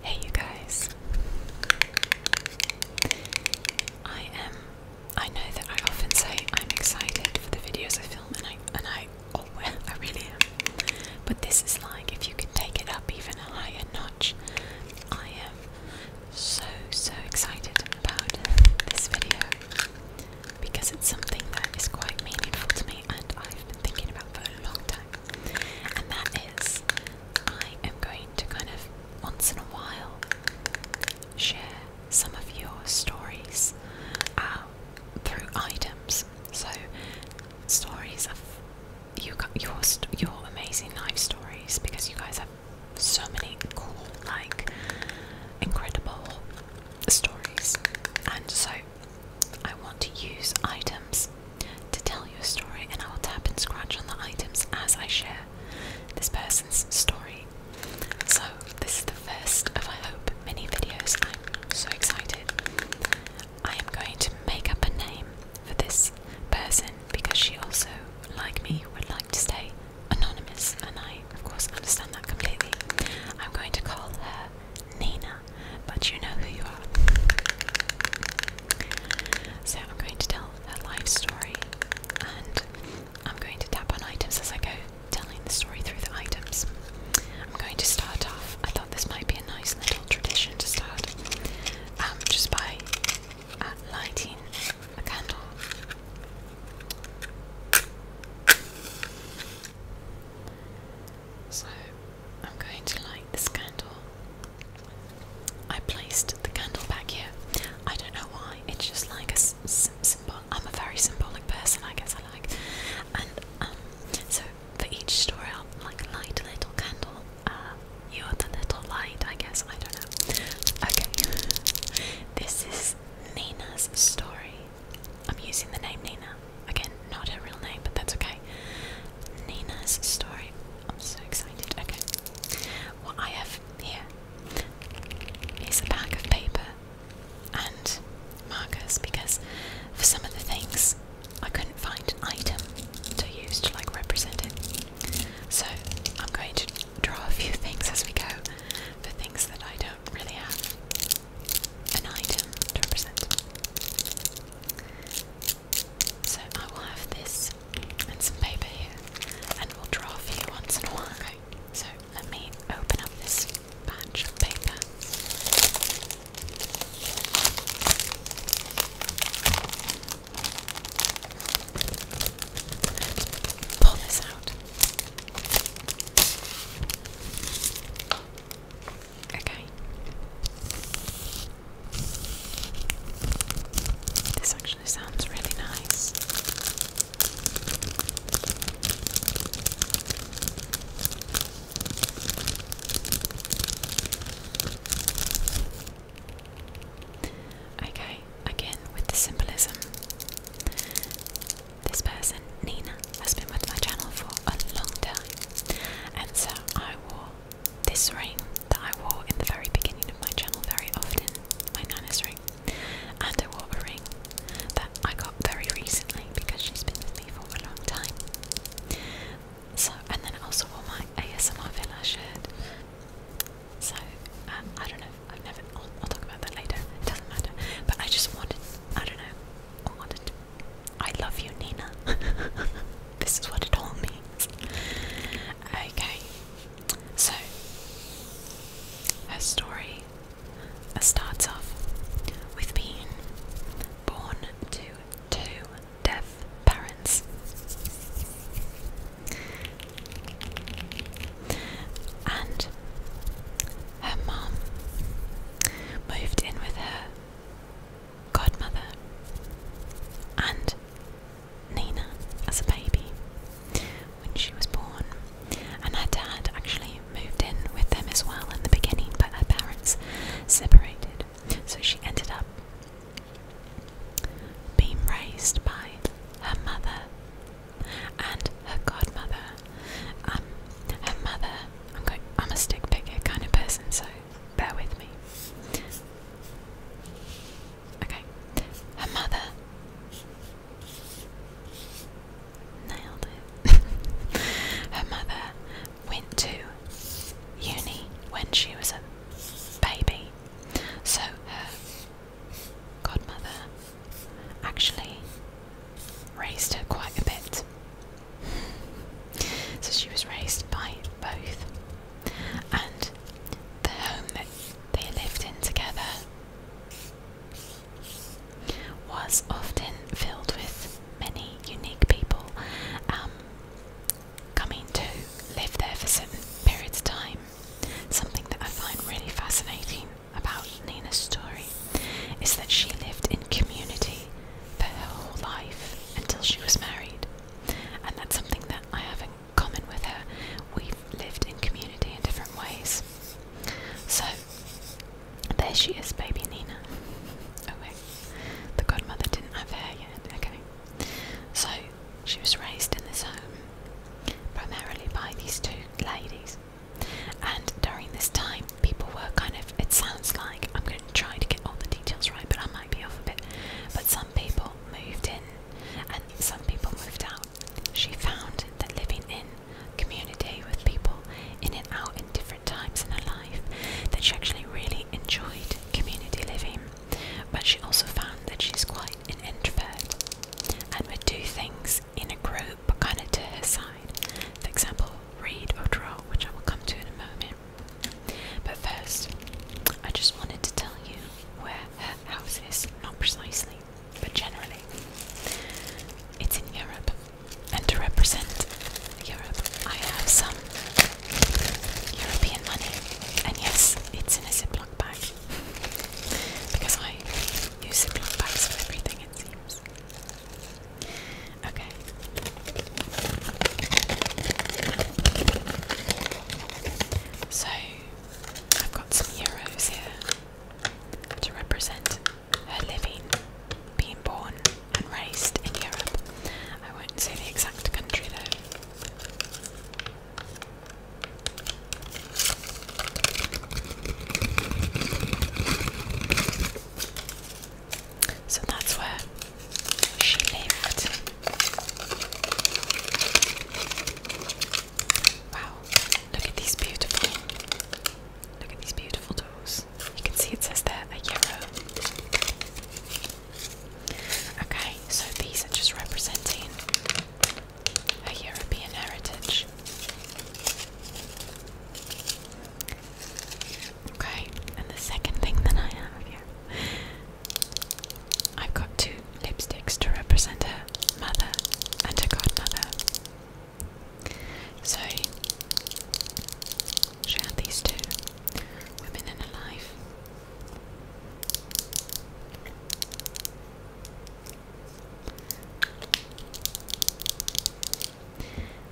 Hey, you guys. I am. I know that I often say I'm excited for the videos I film, and I and I oh well, I really am. But this is like if you could take it up even a higher notch. I am so so excited about this video because it's something that is quite meaningful to me and I've been thinking about for a long time. And that is, I am going to kind of once in a while share some of your stories um, through items. So, stories of you, your, your amazing life stories because you guys have so many cool, like, incredible stories, and so I want to use items to tell your story, and I will tap and scratch on the items as I share this person's story. So, this is the first of, I hope, many videos. I'm so excited. I am going to make up a name for this person because she also, like me, would like to stay anonymous, and I of course, understand that completely. I'm going to call her Nina, but you know who you are. So I'm going to tell her life story, and I'm going to tap on items as I go, telling the story through the items. I'm going to start off. I thought this might be a nice little tradition to start, um, just by uh, lighting a candle. So I'm going to light this candle. I placed the candle back here. I don't know why. It's just like a symbol. I'm a very symbolic person, I guess. I like, and um, so for each story, I'll like light a little candle. Uh, you're the little light, I guess. I don't know. Okay, this is Nina's story. I'm using the name Nina. Again, not her real name, but that's okay. Nina's story. I'm so excited. Okay. What I have here is a bag of paper and markers because for some of the things I couldn't find an item to use to like represent it. So I'm going to draw a few things as we go for things that I don't do really have an item to represent. So I will have this and some paper here, and we'll draw for you once in a while. so let me open up this batch of paper. pull this out. Okay. This actually sounds really nice. Okay, again with the symbolism. This person, Nina, has been with my channel for a long time, and so I wore this ring that I wore in the very beginning of my channel very often, my Nana's ring, and I wore a ring that I got very recently because she's been with me for a long time. So, and then I also wore my ASMR Villa shirt. So, uh, I don't know, I've never. I'll, talk about that later. It doesn't matter. But I just wanted. I don't know. I wanted. I love you, Nina. this is what it all means. Okay. So her story starts off with being born to two deaf parents and her mum moved in with her godmother and Nina as a baby when she was born, and her dad actually moved in with them as well in the beginning, but her parents separated, so she ended up being raised by her mother and her godmother. Um, her mother. I'm a stick picker kind of person, so bear with me. Okay. Her mother nailed it. her mother went to uni when she was a baby, so her godmother actually raised her quite a bit. so she was raised by both. And the home that they lived in together was often filled with many unique people um, coming to live there for certain periods of time. Something that I find really fascinating about Nina's story is that she lived in community for her whole life until she was married. And that's something that I have in common with her. We've lived in community in different ways. So, there she is, baby Nina. Oh, the godmother didn't have hair yet, okay. So, she was raised in this home primarily by these two ladies and during this time, people were kind of, it sounds like, I'm going to try to get all the details right, but I might be off a bit. But some people moved in and some people moved out. She found that living in community with people in and out in different times in her life, that she actually really enjoyed community living. But she also found that she's quite an introvert and would do things in a group but kind of to her side. For example, read or draw, which I will come to in a moment. But first, I just wanted to tell you where her house is, not precisely, but generally. It's in Europe, and to represent Europe, I have some European money. And yes, it's in a ziplock bag. Because I use Ziploc bags for everything, it seems. Okay. So, I've got some euros here to represent her living, being born, and raised in Europe. I won't say the exact country though. So that's where she lived. Wow, look at these beautiful, look at these beautiful doors. You can see it says there a euro. Okay, so these are just representing a European heritage. Okay, and the second thing that I have here, I've got two lipsticks to represent her mother and her godmother. So, she had these two women in her life.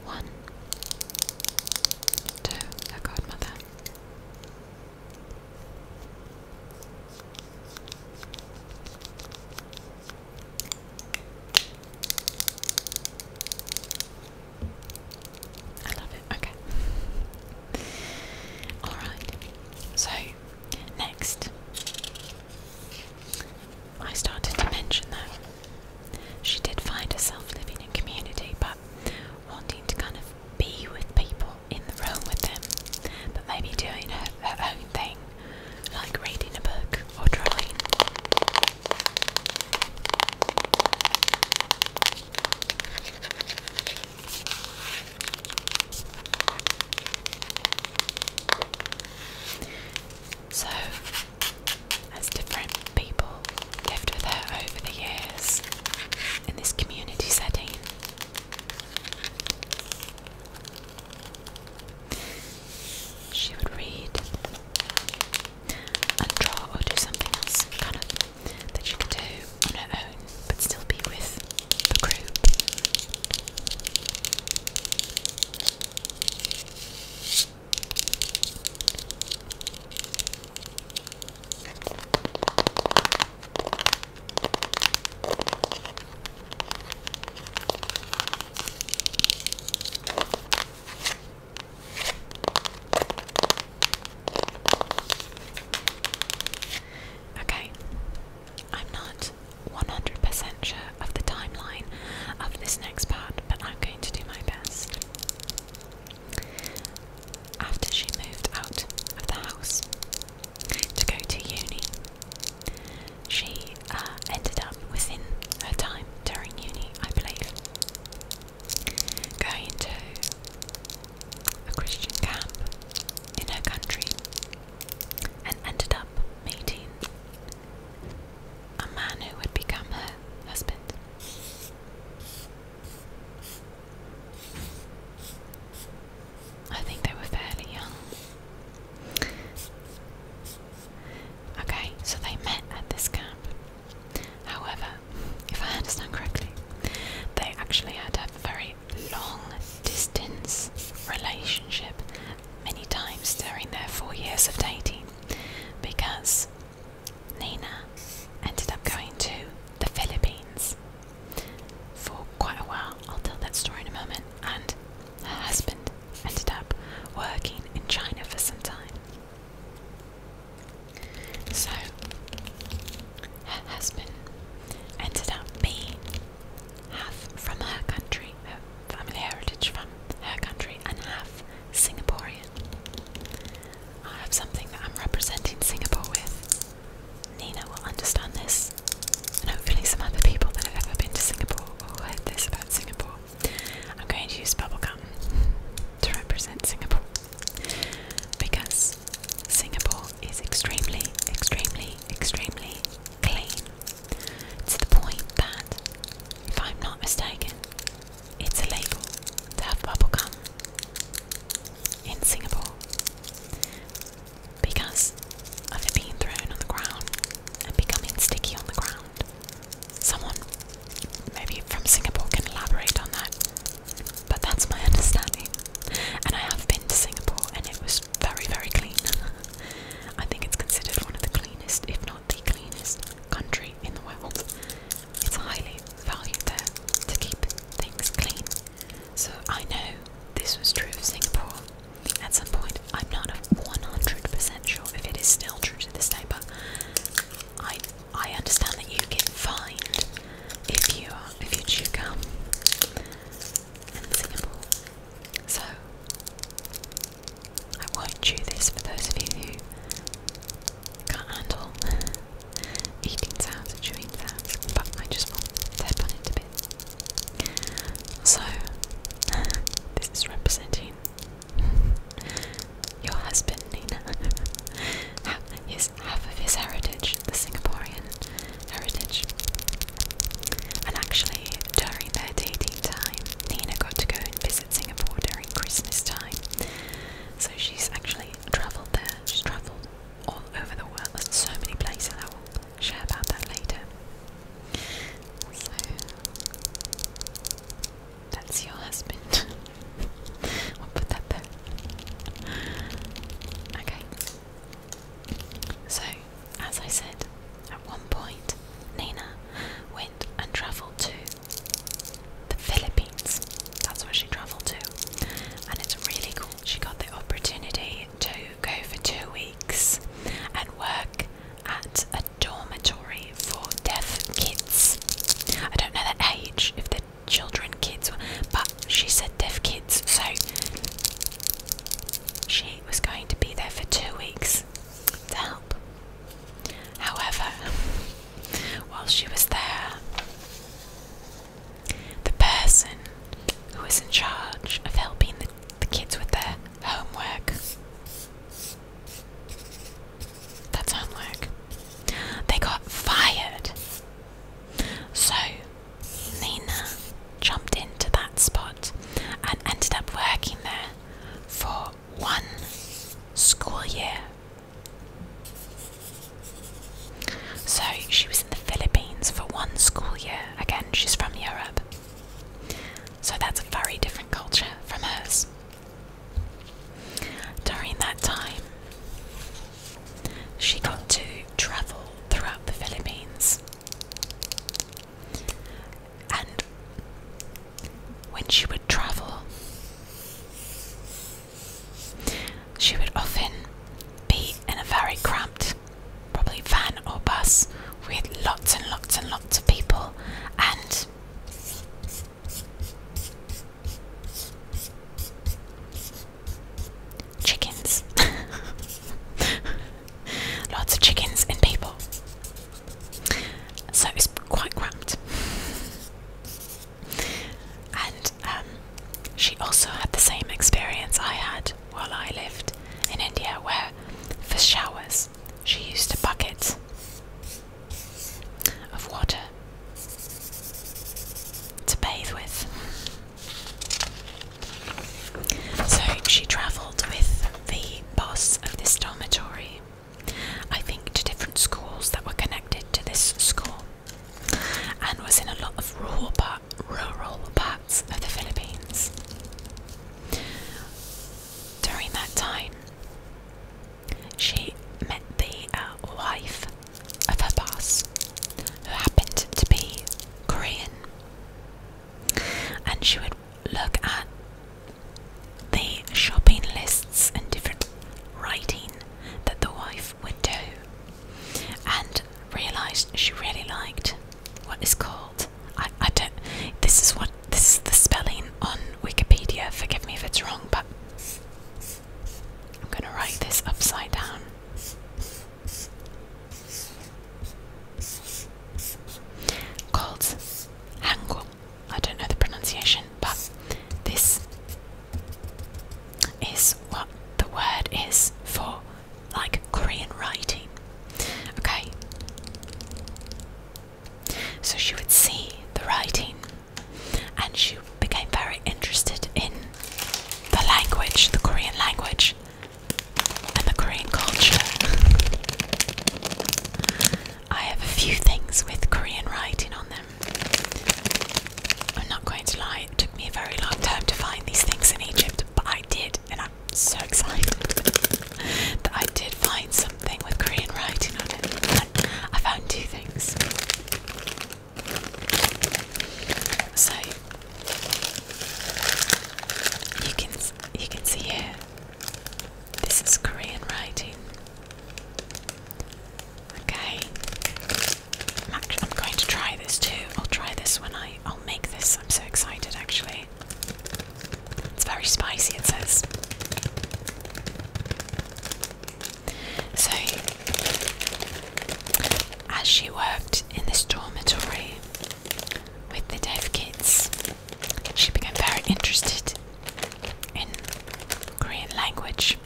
One, two, a godmother. I love it, okay. Alright, so next I started to mention that she did find herself living in community, but wanting to kind of be with people in the room with them, but maybe doing her, her own thing, like reading a book or drawing. So, as different people lived with her over the years in this community setting, she would read and draw or do something else kind of that she could do on her own but still be with the Okay. I'm not 100% sure of the timeline of this next part, but I'm going to do my best. After she moved out of the house to go to uni, she uh, ended up within her time during uni, I believe, going to a Christian camp in her country and ended up meeting a man who would become her husband. I think they were fairly young. Okay, so they met at this camp. However, if I understand correctly, they actually had a very long distance relationship many times during their four years of dating because Nina ended up going to the Philippines for quite a while. I'll tell that story in a moment. And her husband ended up working in China for some time. So her husband ended up being half from her country, her family heritage from her country, and half Singaporean. I have something that I'm representing Singapore with. Nina will understand this, and hopefully some other people that have ever been to Singapore or heard this about Singapore. I'm going to use bubble gum to represent Singapore because Singapore is extremely, extremely, extremely clean to the point that, if I'm not mistaken, it's illegal to have bubble bubblegum in Singapore because of it being thrown on the ground and becoming sticky on the ground. Someone maybe from Singapore can elaborate on that, but that's my understanding. And I have been to Singapore and it was very, very clean. I think it's considered one of the cleanest, if not the cleanest, country in the world. It's highly valued there to keep things clean. So I know this was true of Singapore at some point. I'm not 100% sure if it is still true to this day, but I I understand that you get fined if you if you chew gum. So, I won't chew this for those of you who can't handle eating sounds and chewing sounds, but I just want to tap on it a bit. So, this is representing your husband, Nina. His half of his heritage the Singaporean heritage. And actually, during their dating time, Nina got to go and visit Singapore during Christmas time. So she's actually travelled there. She's travelled all over the world. There's so many places. I will share about that later. So that's your husband. I'll put that there. Okay. So, as I said, at one point, Nina went and travelled to the Philippines. That's where she travelled to. And it's really cool. She got the opportunity to go for two weeks and work at a dormitory for deaf kids. I don't know the age, if they're children, kids, but she said deaf kids. So she was going to be there for two weeks to help. However, while she was there, the person who was in charge of helping the, kids with their homework that's homework they got fired so Nina jumped into that spot and ended up working there for one school year. So she was in the Philippines for one school year. Again, she's from Europe. So that's a very different culture from hers. During that time, she got to travel throughout the Philippines. And when she would travel, she would often be in a very cramped, probably van or bus, with lots and lots and lots of people, and Chickens. Lots of chickens and people. So it's quite cramped. And um, she also had the same experience I had while I lived in India, where for showers she used a bucket of water to bathe with. So she travelled with the boss of this dormitory, I think to different schools that were connected to this school, and was in a lot of rural, parts of the Philippines. During that time, she met the uh, wife of her boss, who happened to be Korean. And she would look at the shopping lists and different writing that the wife would do, and realized she really liked what is called. I, don't. This is what this is the spelling on Wikipedia. Forgive me if it's wrong, but I'm gonna write this upside down called Hangul. I don't know the pronunciation, but this is what the word is for like Korean writing. Okay. So she would see the writing and she became very interested in the language, the Korean language, and the Korean culture. I have a few things with Korean writing on them. I'm not going to lie, it took me a very long time to find these things in Egypt, but I did, and I'm so excited that I did find something with Korean writing on it. I found two things. So you can you can see here. This is Korean writing. Okay, I'm, going to try this too. I'll try this when I I'll make this. I'm so excited actually. It's very spicy. It says. So, as she worked in this dormitory with the deaf kids. She became very interested in Korean language.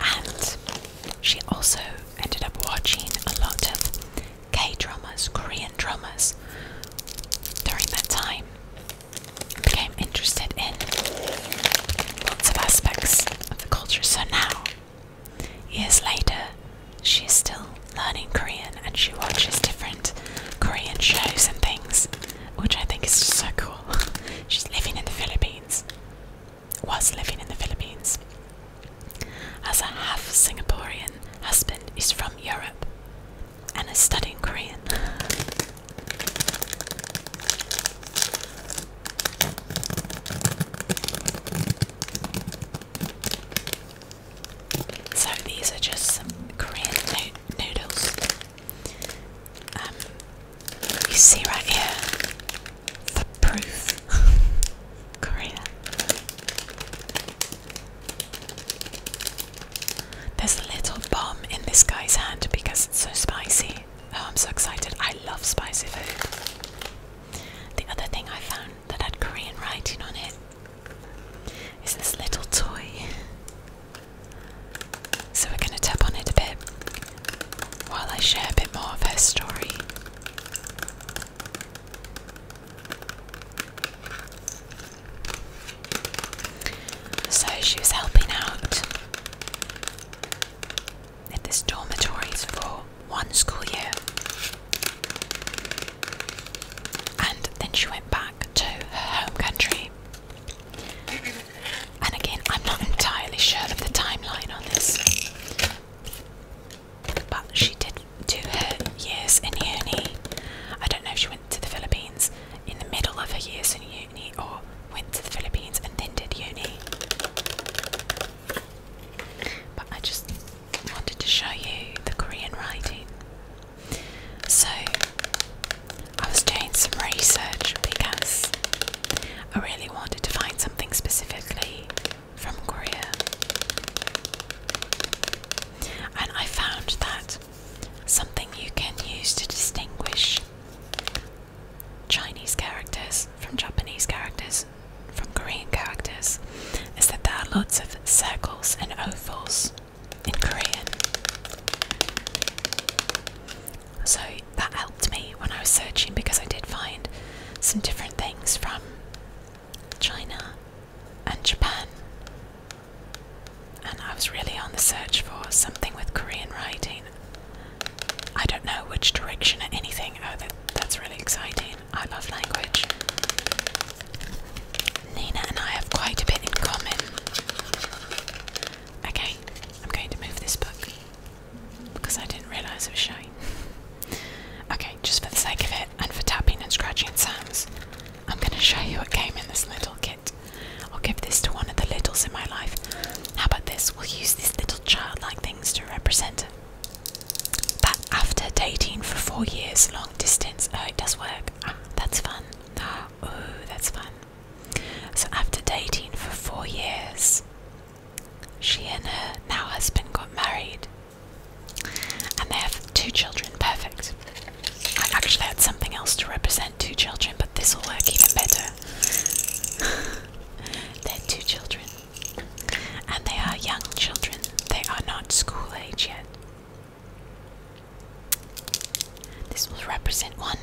And she also ended up watching a lot of K dramas, Korean dramas during that time became interested in lots of aspects of the culture. So now, years later, she's still learning Korean and she watches different Korean shows and things, which I think is so cool. She's living in the Philippines, was living in the Philippines. As a half Singaporean husband is from Europe and is studying Korean. So these are just some Korean noodles. Um, you see right here the proof. Korea. There's a little bomb in this guy's hand because it's so spicy. Oh, I'm so excited. I love spicy food. The other thing I found that had Korean writing on it is this little toy. So we're going to tap on it a bit while I share a bit more of her story. So she helping out at this dormitory for one school year. And then she went back to her home country. And again, I'm not entirely sure of the timeline on this, but she did do her years in uni. I don't know if she went to the Philippines in the middle of her years in uni or went to the Philippines and then did uni. But I just wanted to show you the Korean writing. So I was doing some research because I really wanted to find something specifically from Korea. And I found that something you can use to distinguish Chinese characters, from Japanese characters, from Korean characters, is that there are lots of circles and ovals in Korean. So that helped me when I was searching because I did find some different things from China and Japan. And I was really on the search for something with Korean writing I don't know which direction or anything. Oh, that's really exciting. I love language. Nina and I have quite a bit in common. Okay, I'm going to move this book because I didn't realise it was shiny. okay, just for the sake of it and for tapping and scratching sounds, I'm going to show you what came in this little kit. I'll give this to one of the littles in my life. How about this? we'll use these little childlike things to represent that after dating for four years, long distance. Oh, it does work. Ah, that's fun. Ah, oh, that's fun. So after dating for four years, she and her now husband got married, and they have two children. Perfect. I actually had something else to represent two children, but this will work even better. They're two children. And they are young children. They are not school age yet. This will represent one.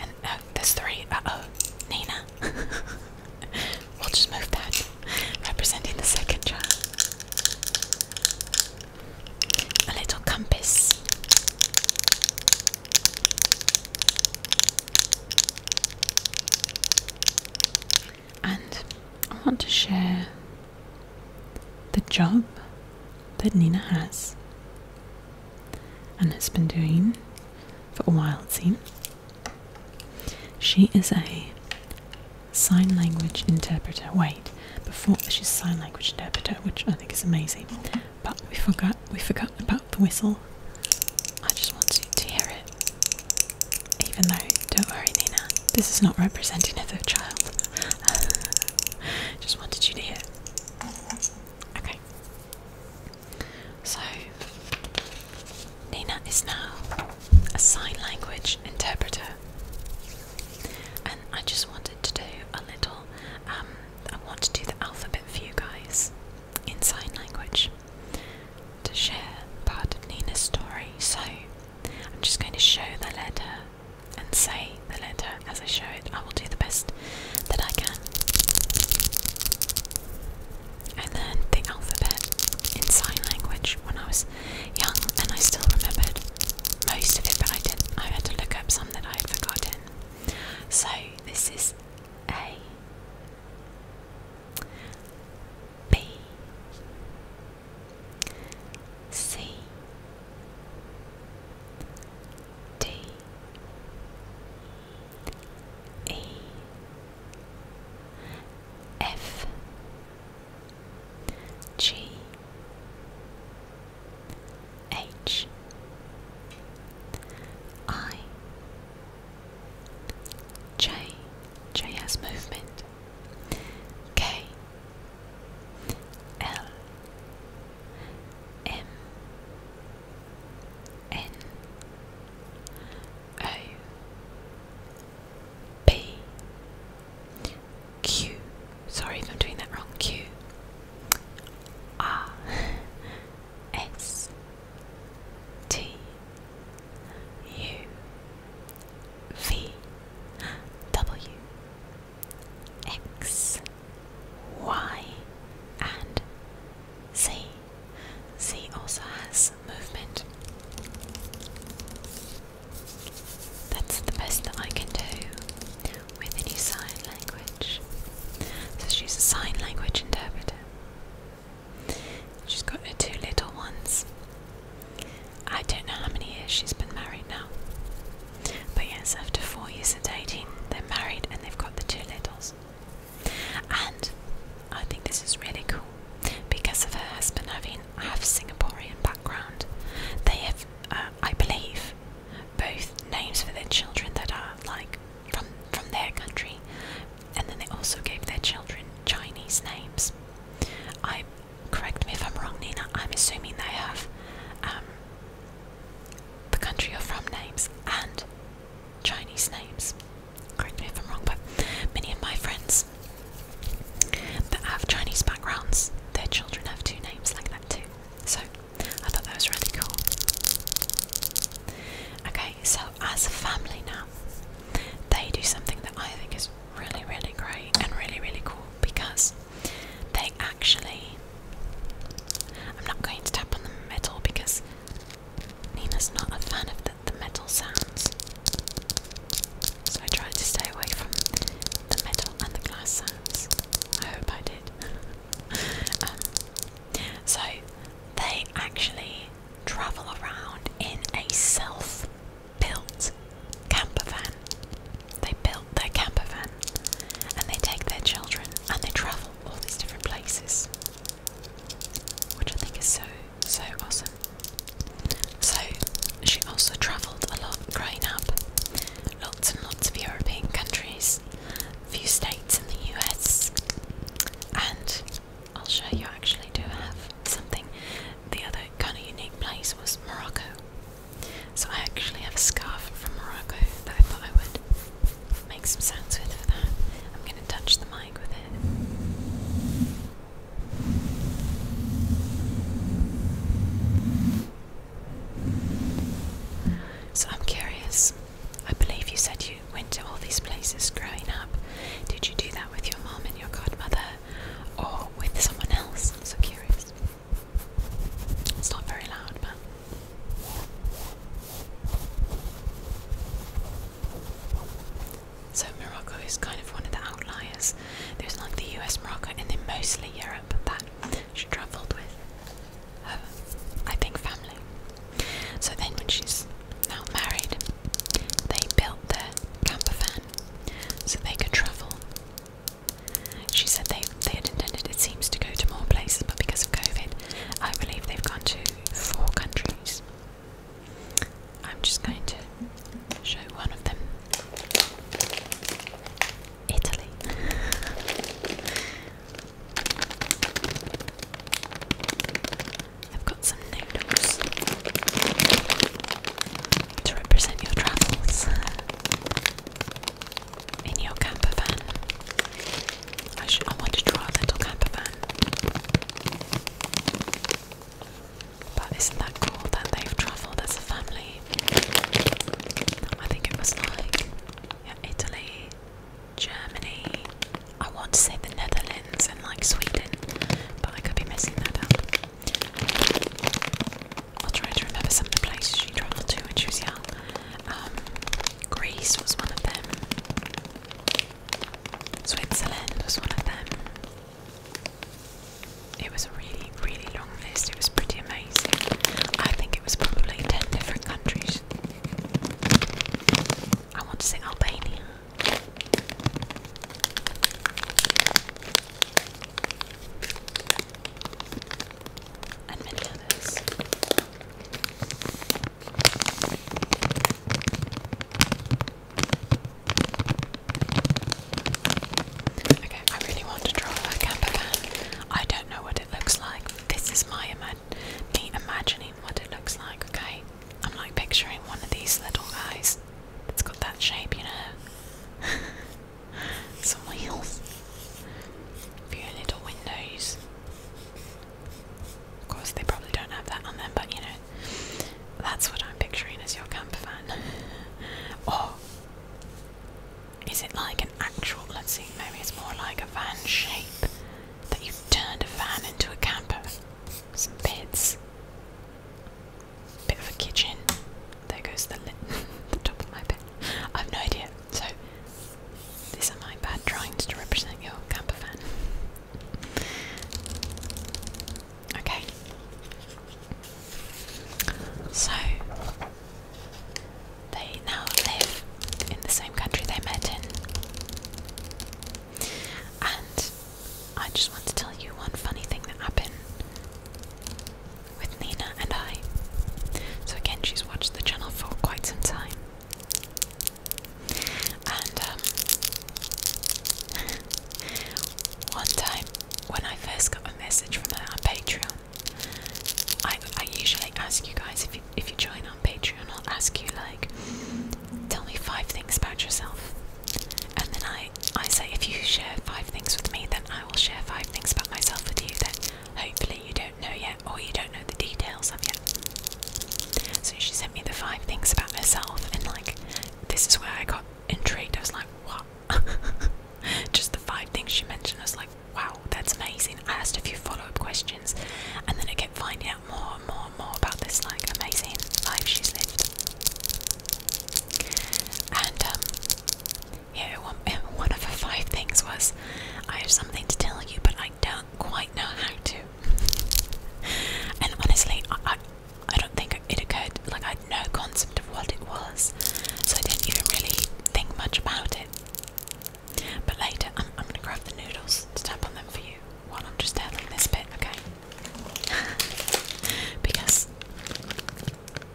And oh, there's three. Uh oh, Nina. we'll just move that. Representing the second child. A little compass. And I want to share the job that Nina has and has been doing for a while, it seems. She is a sign language interpreter. Wait, before she's a sign language interpreter, which I think is amazing. But we forgot we forgot about the whistle. I just wanted to hear it. Even though, don't worry Nina, this is not representative of child. I just wanted you to hear Okay. So Nina is now a sign language interpreter. And I just wanted to do a little um, I want to do the alphabet for you guys in sign language to share part of Nina's story. So I'm just going to show the letter and say the letter as I show it. I will do the best that I can. and then the alphabet in sign language when I was young and I still remember most of it, but I did I had to look up some that I had forgotten. So this is A B C D E F G H I J J has movement K L M N O B Q sorry if I'm doing that wrong Q R S T U V W X Y and Z. Z also has movement. That's the best that I can do with a new sign language. So she's a sign language interpreter. She's got her two little ones. I don't know how many years she's been married now. But yes, after four years of dating, they're married and they've got the two little ones. And I think this is really cool because of her husband having half Singaporean background. They have, uh, I believe, both names for their children that are like from from their country, and then they also gave their children Chinese names. I correct me if I'm wrong, Nina. I'm assuming they have um, the country of from names and Chinese names. Correct me if I'm wrong, but many of my friends that have Chinese backgrounds, their children have two names like that too. So I thought that was really cool. Okay, so as a family now, they do something that I think is really, really great and really, really cool because they actually. I'm not going to tap on the metal because Nina's not a fan of the, metal sounds. So I tried to stay away from the metal and the glass sounds. I hope I did. Um, so they actually travel around in a self-built camper van. They built their camper van and they take their children and they travel all these different places. Which I think is so, so awesome. So she also travelled a lot growing up lots and lots of European countries, a few states in the US, and I'll show you I actually do have something. The other kind of unique place was Morocco. So I actually have a scarf from Morocco that I thought I would make some sounds with for that. I'm going to touch the mic with it. So I'm curious. I believe you said you went to all these places growing up. Did you do that with your mom and your godmother or with someone else? I'm so curious. It's not very loud, but. So Morocco is kind of one of the outliers. There's like the US, Morocco, and then mostly Europe that she travelled with. I think, family. So then, when she's now married, they built their camper van so they could travel. She said they, they had intended, it seems, to go to more places, but because of COVID, I believe they've gone to four countries. I'm just going to show one of them. Italy. I've got some noodles to represent your travels in your camper van. I, should, I want to draw a little camper van. But isn't that cool that they've travelled as a family? I think it was like yeah, Italy, Germany. I want to say the Netherlands and like Sweden, but I could be missing that up. I'll try to remember some of the places she travelled to when she was young. Um, Greece was one of them. Switzerland was one of them. It was a really, really long. It was pretty amazing. I think it was probably 10 different countries. I want to sing Albania. And many others. I really want to draw a camper van. I don't know what it looks like. This is my ima me imagining what it looks like, okay? I'm like picturing one of these little guys. It's got that shape, you know. Some wheels. few little windows. Of course, they probably don't have that on them, but you know, that's what I'm picturing as your camper van. or is it like an actual, let's see, maybe it's more like a van shape that you've turned a van into a camper? Some beds, bit of a kitchen. There goes the, the top of my pen. I've no idea. So, these are my bad drawings to represent your camper van. Okay. So, they now live in the same country they met in. And I just want to tell you one funny thing that happened with Nina and I. So, again, she's watched the channel for quite some time. And um, one time when I first got a message from her on Patreon, I, I usually ask you guys if you if you join on Patreon, I'll ask you like, tell me five things about yourself, and then I I say if you share five things with me, then I will share five things about myself with you that hopefully you don't know yet or you don't know the details of yet. So she sent me the five things about herself, and like, this is where I got intrigued. I was like, what? Just the five things she mentioned, I was like, wow, that's amazing. I asked a few follow up questions, and then I kept finding out more and more and more about this like amazing life she's lived. And um, yeah, one, of the five things was, I have something to tell you, but I don't quite know how to. and honestly, I, I, I don't think it occurred. Like I had no concept of what it was, so I didn't even really think much about it. But later, I'm, going to grab the noodles to tap on them for you while I'm just having this bit, okay? because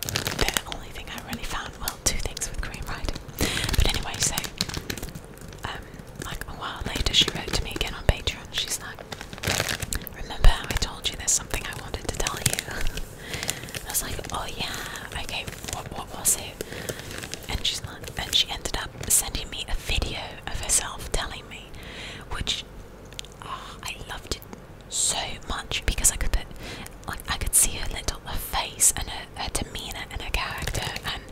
the only thing I really found. Well, two things with cream, right? But anyway, so, um, like a while later, she wrote to me again on Patreon. She's like, Remember how I told you there's something I wanted to tell you? I was like, oh yeah, okay, what, what was it? And she's like, and she ended up sending me a video of herself telling me, which oh, I loved it so much because I could like, I could see her little her face and her, her demeanor and her character and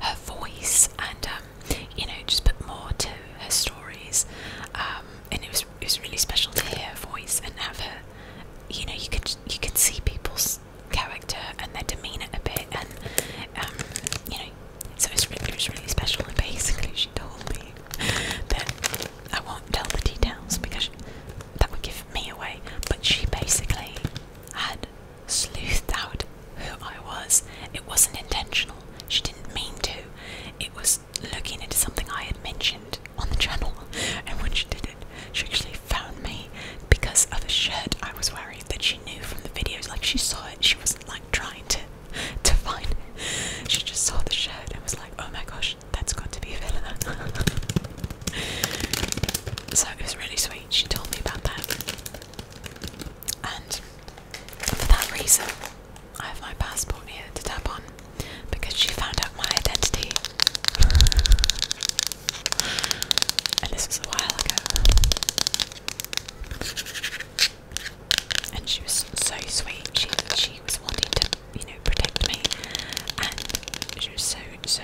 her voice and um, you know just put more to her stories. Um, and it was it was really special to hear her voice and have her. You know, you could you could see people's character and their demeanour a bit, and um, you know, so it was, really, was really special. And basically, she told me that I won't tell the details because that would give me away. But she basically had sleuthed out who I was. It wasn't intentional. She didn't mean to. It was looking into something I had mentioned on the channel. And when she did it, she actually found me because of a shirt I was wearing that she knew from the videos. Like she saw it, she wasn't like trying to to find it. She just saw the shirt and was like, oh my gosh, that's got to be a villain." so it was really sweet. She told me about that. And for that reason, I have my passport here to tap on because she found out my identity. and this was a while ago. And she was so sweet. She she was wanting to, you know, protect me, and she was so so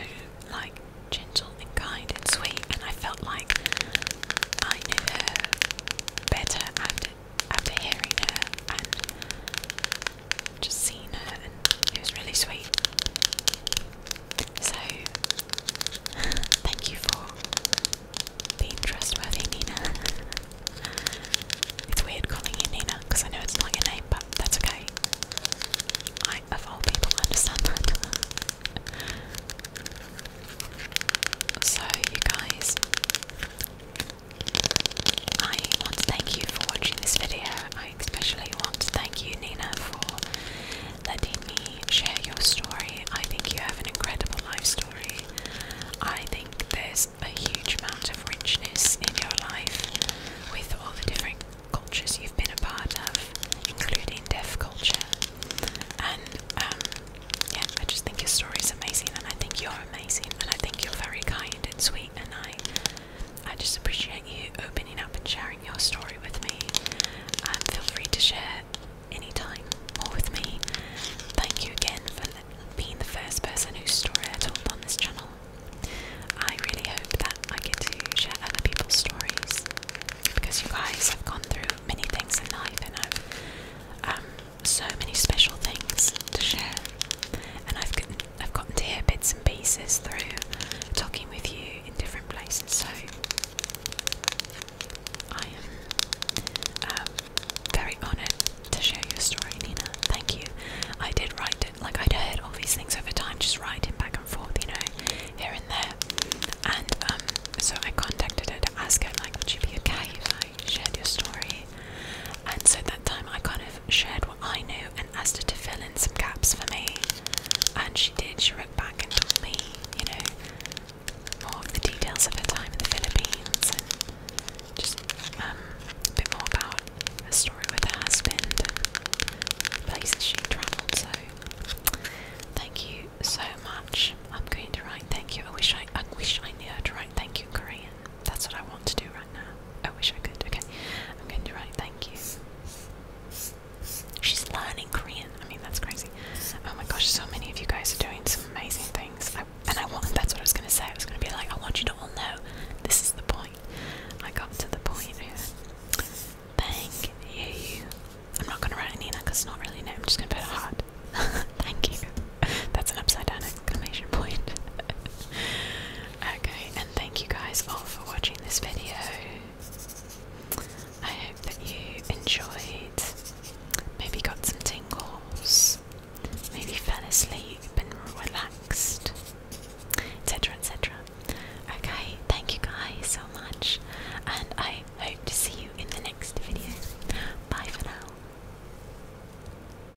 like gentle and kind and sweet. And I felt like I knew her better after after hearing her, just seen her and it was really sweet. So, thank you for being trustworthy, Nina. it's weird calling you Nina because I know it's not your name, but that's okay. I, of all people, understand that. so, you guys, I want to thank you for watching this video. I especially want to thank you, Nina, for letting me share your story. I think you have an incredible life story. I think there's a huge amount of richness in your life with all the different cultures you've been a part of, including deaf culture. And um, yeah, I just think your story is amazing, and I think you're amazing, and I think you're very kind and sweet, and I I just appreciate you opening up and sharing your story with me. And um, feel free to share any time more with me. Thank you again for being the first person whose story I told on this channel. I really hope that I get to share other people's stories because you guys have gone through many things in life and I've um, so many special things to share, and I've I've gotten to hear bits and pieces through talking with you in different places, so I am um, very honoured to share your story, Nina. Thank you. I did write it, like I'd heard all these things over time, just writing back and forth, you know, here and there. And um, so I contacted her to ask her, like, would you be okay if I shared your story? and so that time I kind of shared what I knew and asked her to fill in some gaps for me, and she did. She wrote back and told me, you know, more of the details of her time in the Philippines and just um, a bit more about her story with her husband and places she travelled. So, thank you so much. I'm going to write thank you. I wish I, I wish I knew how to write thank you in Korean. That's what I want to do right now. I wish I could. Okay, I'm going to write thank you. She's learning Korean. I mean, that's crazy. Oh my gosh, so many of you guys are doing some amazing things. and I want, that's what I was going to say. I was going to be like, I want you to all know this is the point. I got to the point here. Thank you. I'm not going to write Nina because it's not really a I'm just going to put a heart. Thank you. That's an upside down exclamation point. okay, and thank you guys all for watching this video. I hope that you enjoyed, maybe got some tingles, maybe fell asleep and relaxed, etc. etc. Okay, thank you guys so much, and I hope to see you in the next video. Bye for now.